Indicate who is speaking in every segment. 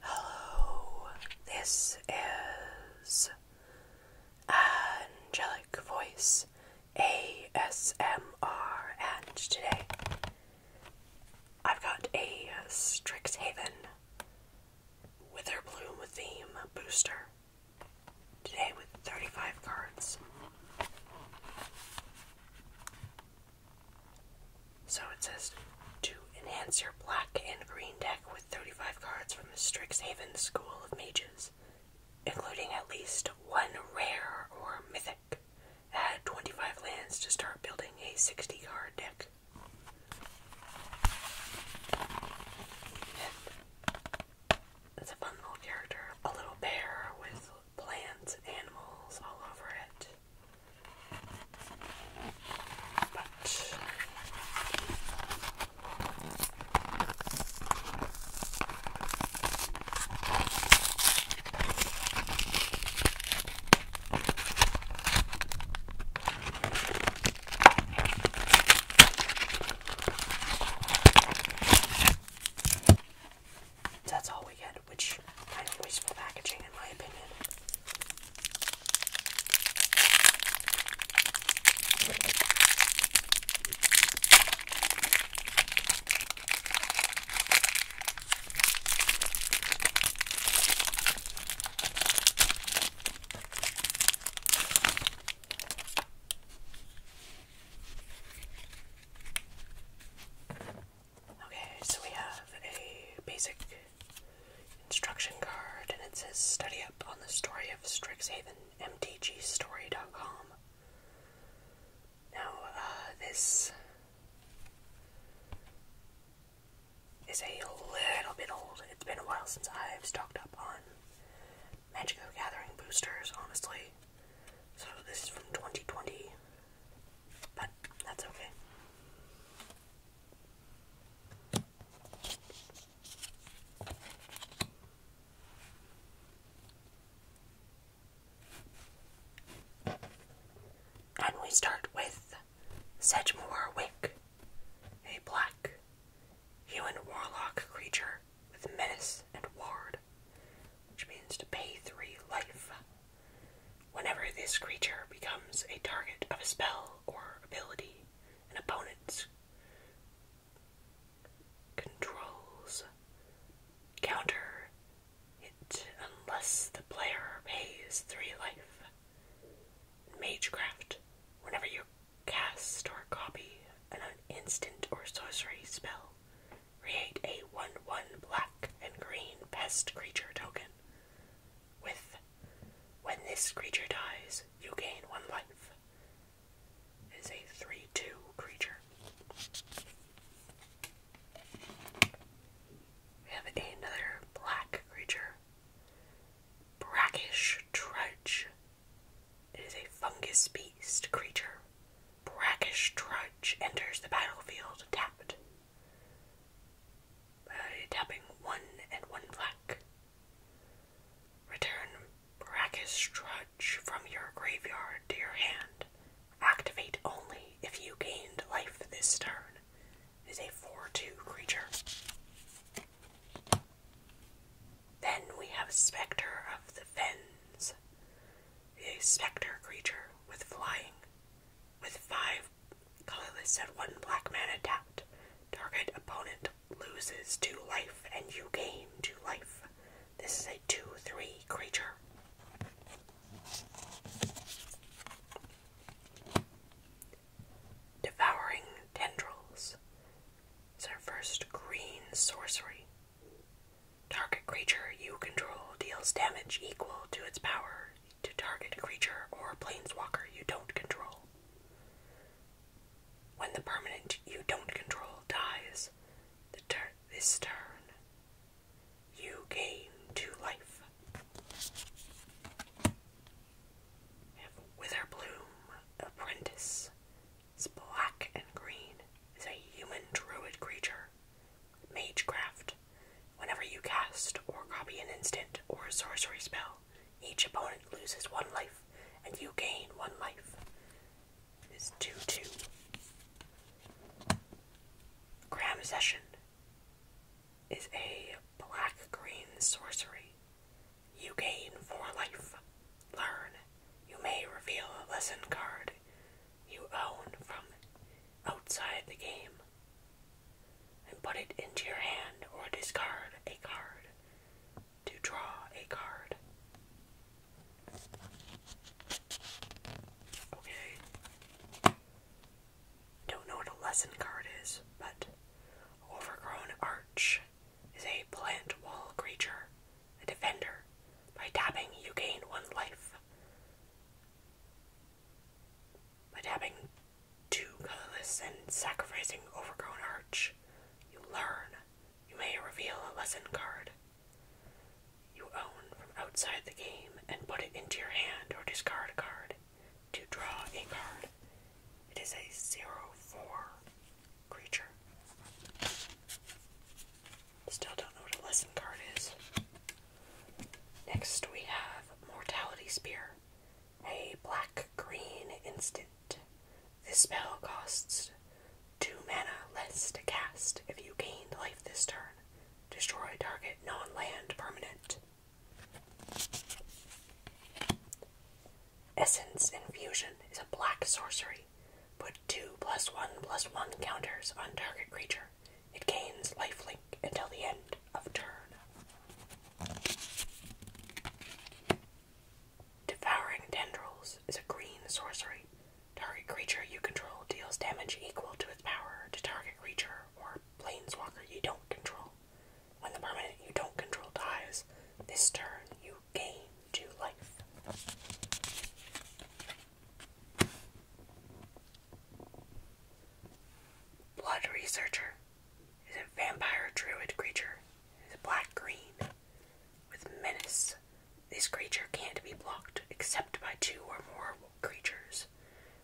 Speaker 1: Hello, this is Angelic Voice ASMR, and today I've got a Strixhaven bloom theme booster today with 35 cards. So it says to enhance your black and green deck with 35 cards from the Strixhaven School of Mages, including at least one rare or mythic. Add 25 lands to start building a 60 card deck. It's a fun little character. A little bear with plants, animals all over it. That's all we get, which kind of wasteful packaging in my opinion. Okay, so we have a basic instruction card and it says study up on the story of Strixhaven, mtgstory.com. Now, uh, this is a little bit old. It's been a while since I've stocked up on Magic the Gathering boosters, honestly. So this is from 2020, but that's okay. And we start with Sedgemoor Wick, a black human warlock creature with menace and ward, which means to pay three life. Whenever this creature becomes a target of a spell or ability, an opponent controls counter it unless the player pays three life. Magecraft, whenever your cast or copy an instant or sorcery spell. Create a 1 1 black and green pest creature token. With when this creature dies, you gain 1 life. Is a 3 2 creature. We have another black creature. Brackish Trudge. It is a fungus beast creature. Brackish trudge enters the battlefield tapped tapping one and one black. Return Brackish trudge from your graveyard to your hand. Activate only if you gained life this turn. It is a 4 2 creature. Then we have Spectre of the Fens, a spectre creature with flying, with five colorless and one black man attacked. Target opponent loses two life and you gain two life. This is a 2 3 creature. Devouring Tendrils. It's our first green sorcery. Target creature you control deals damage equal to its power to target creature or planeswalker you don't control. When the permanent you don't control dies the tur this turn, you gain two life. Witherbloom Apprentice, it's black and green. It's a human druid creature. Magecraft. Whenever you cast or copy an instant or a sorcery spell, each opponent loses one life and you gain one life. It's 2 2. Gram Session is a black green sorcery. You gain for life. Learn. You may reveal a lesson card you own from outside the game and put it into your hand or discard a card to draw a card. Okay. Don't know what a lesson card is, but overgrown arch is a plant wall creature, a defender. By tapping, you gain one life. By tapping two colorless and sacrificing Overgrown Arch, you learn. You may reveal a lesson card you own from outside the game and put it into your hand or discard a card to draw a card. It is a zero four creature. Still don't know what a lesson card is. Next we have Mortality Spear. A black green instant. This spell costs two mana less to cast if you gained life this turn. Destroy target non land permanent. Essence Infusion is a black sorcery. Put two plus one plus one counters on target creature. It gains lifelink until the end of turn. Devouring Tendrils is a green sorcery. Target creature you control deals damage equal to its power to target creature or planeswalker you don't control. When the permanent you don't control dies, this turn you came to life. Blood Researcher is a vampire druid creature. It is black green with menace. This creature can't be blocked except by two or more creatures.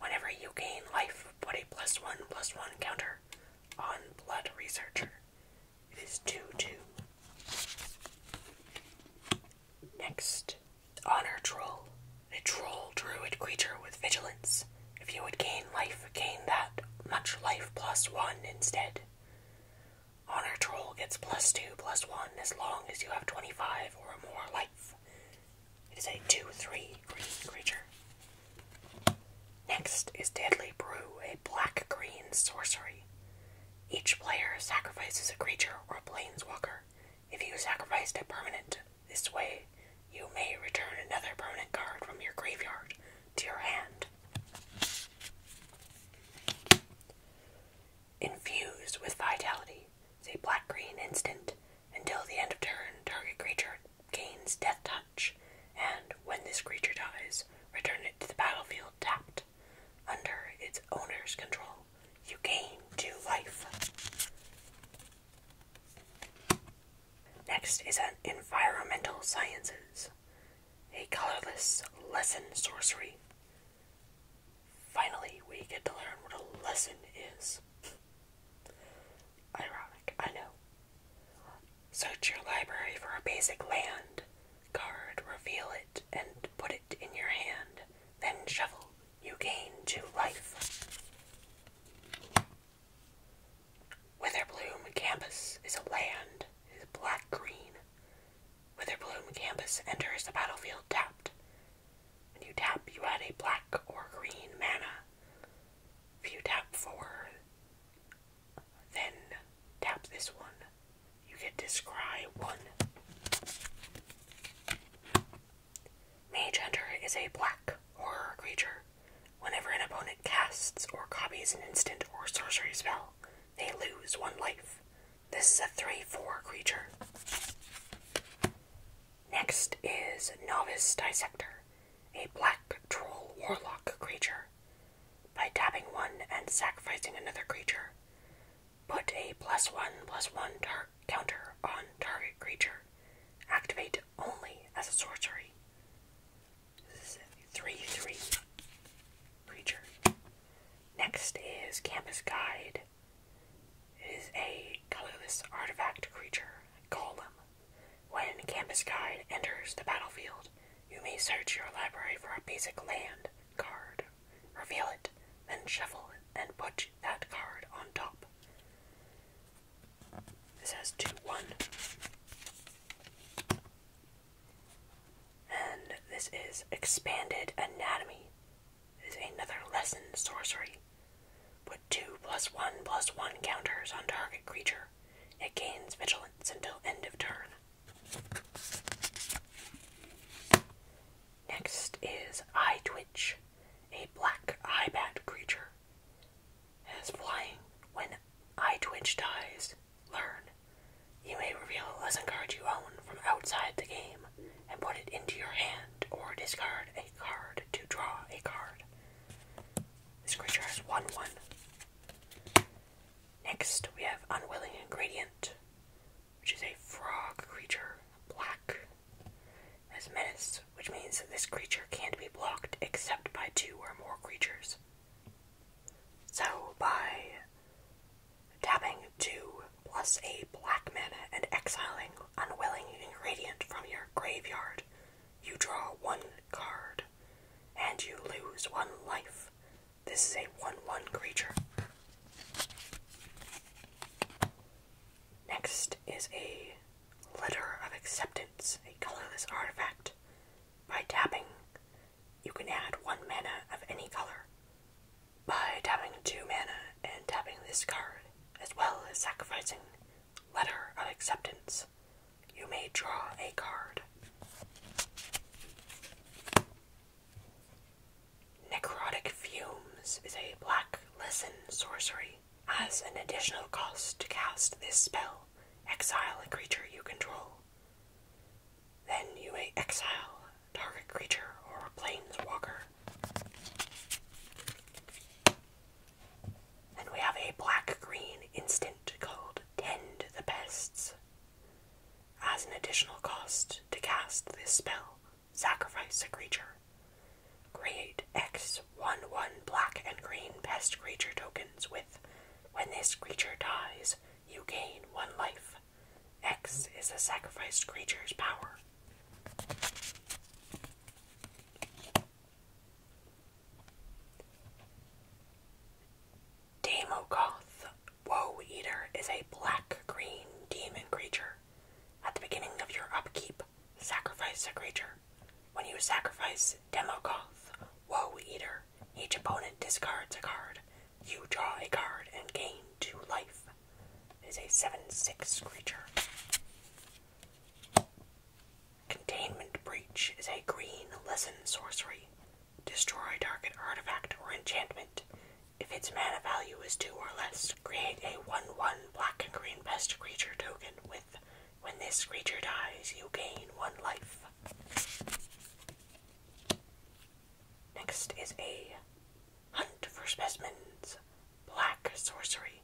Speaker 1: Whenever you gain life, put a plus one plus one counter on Blood Researcher. It is 2 2. Next, honor troll. A troll druid creature with vigilance. If you would gain life, gain that much life plus 1 instead. Honor Troll gets plus 2 plus 1 as long as you have 25 or more life. It is a 2 3 green creature. Next is Deadly Brew, a black green sorcery. Each player sacrifices a creature or a planeswalker. If you sacrificed a permanent this way, you may return another permanent card from your graveyard to your hand. Infused with Vitality is a black green instant. Until the end of turn, target creature gains Death Touch, and when this creature dies, Return it to the battlefield tapped. Under its owner's control, you gain two life. Next is an Environmental Sciences, a colorless lesson sorcery. Finally, we get to learn what a lesson is. Ironic, I know. Search your library for a basic land card, reveal it, and put it in your hand, then shuffle. You gain two life. Witherbloom Campus is a land, it is black green. Witherbloom Campus enters the battlefield tapped. When you tap, you add a black or green mana. If you tap for then tap this one. You get to scry one. Mage Hunter is a black horror creature. Whenever an opponent casts or copies an instant or sorcery spell, they lose one life. This is a 3 4 creature. Next is Novice Dissector, a black troll warlock creature by tapping one and sacrificing another creature. Put a plus one plus one tar counter on target creature. Activate only as a sorcery. This is a 3 3 creature. Next is Campus Guide. It is a colorless artifact creature, Golem. When Campus Guide enters the battlefield, you may search your library for a basic land card, reveal it, then shuffle and put that card on top. This has 2 1. And this is Expanded Anatomy. is another lesson sorcery. Put two plus one plus one counters on target creature it gains vigilance until end of turn. Next is Eye Twitch, a black eyebat creature. It is flying. When Eye Twitch dies, learn. You may reveal a lesson card you own from outside the game and put it into your hand or discard a card to draw a card. This creature has 1 1. Next, we have Unwilling Ingredient, which is a frog creature, black, as menace, which means this creature can't be blocked except by two or more creatures. So, by tapping two plus a black mana and exiling Unwilling Ingredient from your graveyard you draw one card, and you lose one life. This is a 1 1 creature. Next is a Letter of Acceptance, a colorless artifact. By tapping, you can add one mana of any color. By tapping two mana and tapping this card, as well as sacrificing Letter of Acceptance, you may draw a card. Necrotic Fumes is a black lesson sorcery. As an additional cost to cast this spell, exile a creature you control. Then you may exile a target creature or a planeswalker. And we have a black green instant called Tend the Pests. As an additional cost to cast this spell, sacrifice a creature. Create X 1 1 black and green pest creature tokens with when this creature dies, you gain one life. X is a sacrificed creature's power. Damogoth Woe Eater is a black green demon creature. At the beginning of your upkeep, sacrifice a creature. When you sacrifice Demogoth Woe Eater, each opponent discards a card. You draw a card and gain two life. It is a 7 6 creature. Containment Breach is a green lesson sorcery. Destroy target artifact or enchantment. If its mana value is 2 or less, create a 1 1 black and green pest creature token with when this creature dies, you gain 1 life. Next is a Hunt for Specimens Black Sorcery.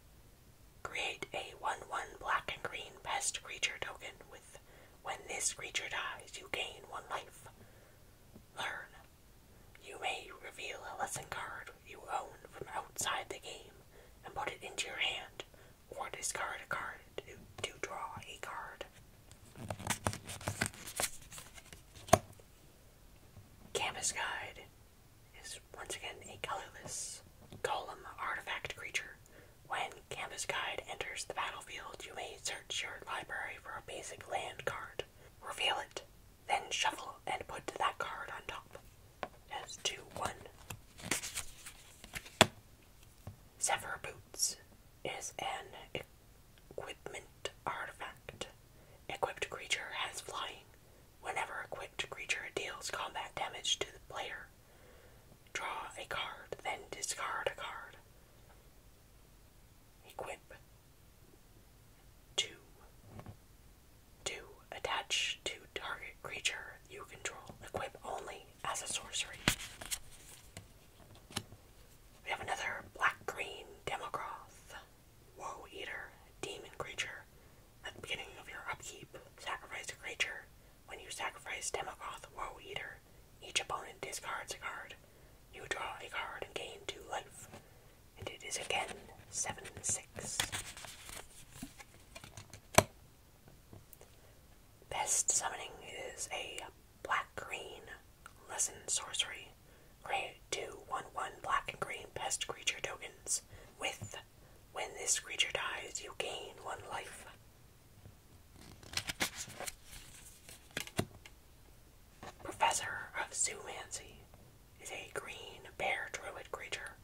Speaker 1: Create a 1-1 black and green pest creature token with when this creature dies, you gain one life. Learn. You may reveal a lesson card you own from outside the game and put it into your hand, or discard a card to, draw a card. Canvas Guide is once again a colorless golem artifact creature when Canvas Guide enters the battlefield, you may search your library for a basic land card. Reveal it, then shuffle and put that card on top. That's 2 1. Sever Boots is an equipment artifact. Equipped creature has flying. Whenever equipped creature deals combat damage to the player, Draw a card, then discard a card. Equip. Two. Two. Attach to target creature you control. Equip only as a sorcery. We have another black green Demogroth, Woe Eater, demon creature. At the beginning of your upkeep, sacrifice a creature when you sacrifice Demogoth Woe Eater, each opponent discards a card. You draw a card and gain two life. And it is again 7 6. Best summoning is a black green lesson sorcery. Grade two one one black and green pest creature tokens with when this creature dies, you gain one life. Professor of Zoomancy is a green bear druid creature.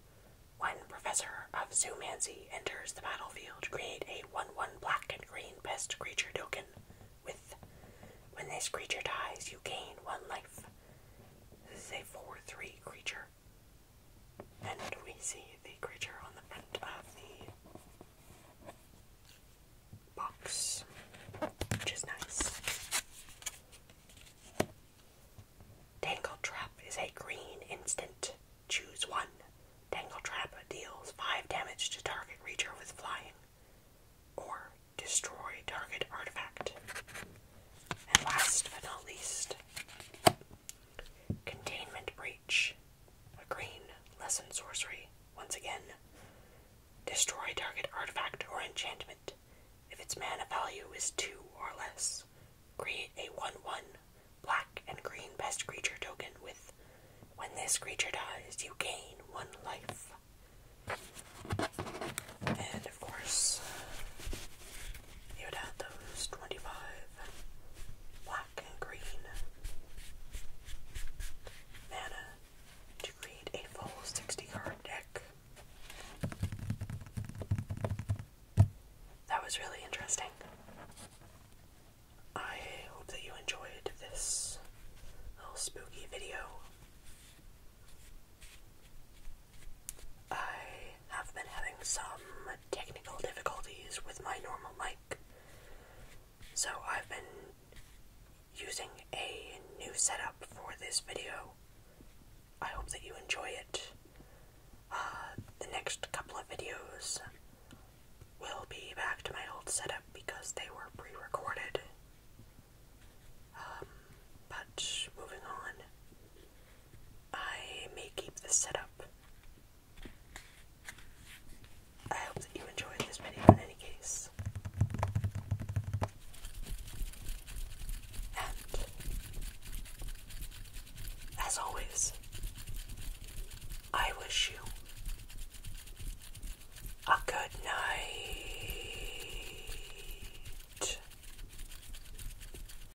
Speaker 1: When Professor of Zoomancy enters the battlefield, create a 1 1 black and green pest creature token with. When this creature dies, you gain one life. This is a 4 3 creature. And we see the creature on the front of the box, which is nice. Tangle Trap is a green instant. Choose one. Tangle Trap deals 5 damage to target creature with flying, or destroy target artifact. And last but not least, Containment Breach. A green, lesson sorcery, once again. Destroy target artifact or enchantment. If its mana value is 2 or less, create a 1 1 black and green best creature token with when this creature dies, you gain 1 life. And of course, you would add those 25 black and green mana to create a full 60 card deck. That was really interesting. I hope that you enjoyed this little spooky video. I have been having some technical difficulties with my normal mic. So I've been using a new setup for this video. I hope that you enjoy it. Uh, the next couple of videos will be back to my old setup because they were pre recorded. Um, but moving on, I may keep this setup. I hope that you enjoyed this video in any case. And as always, I wish you a good night.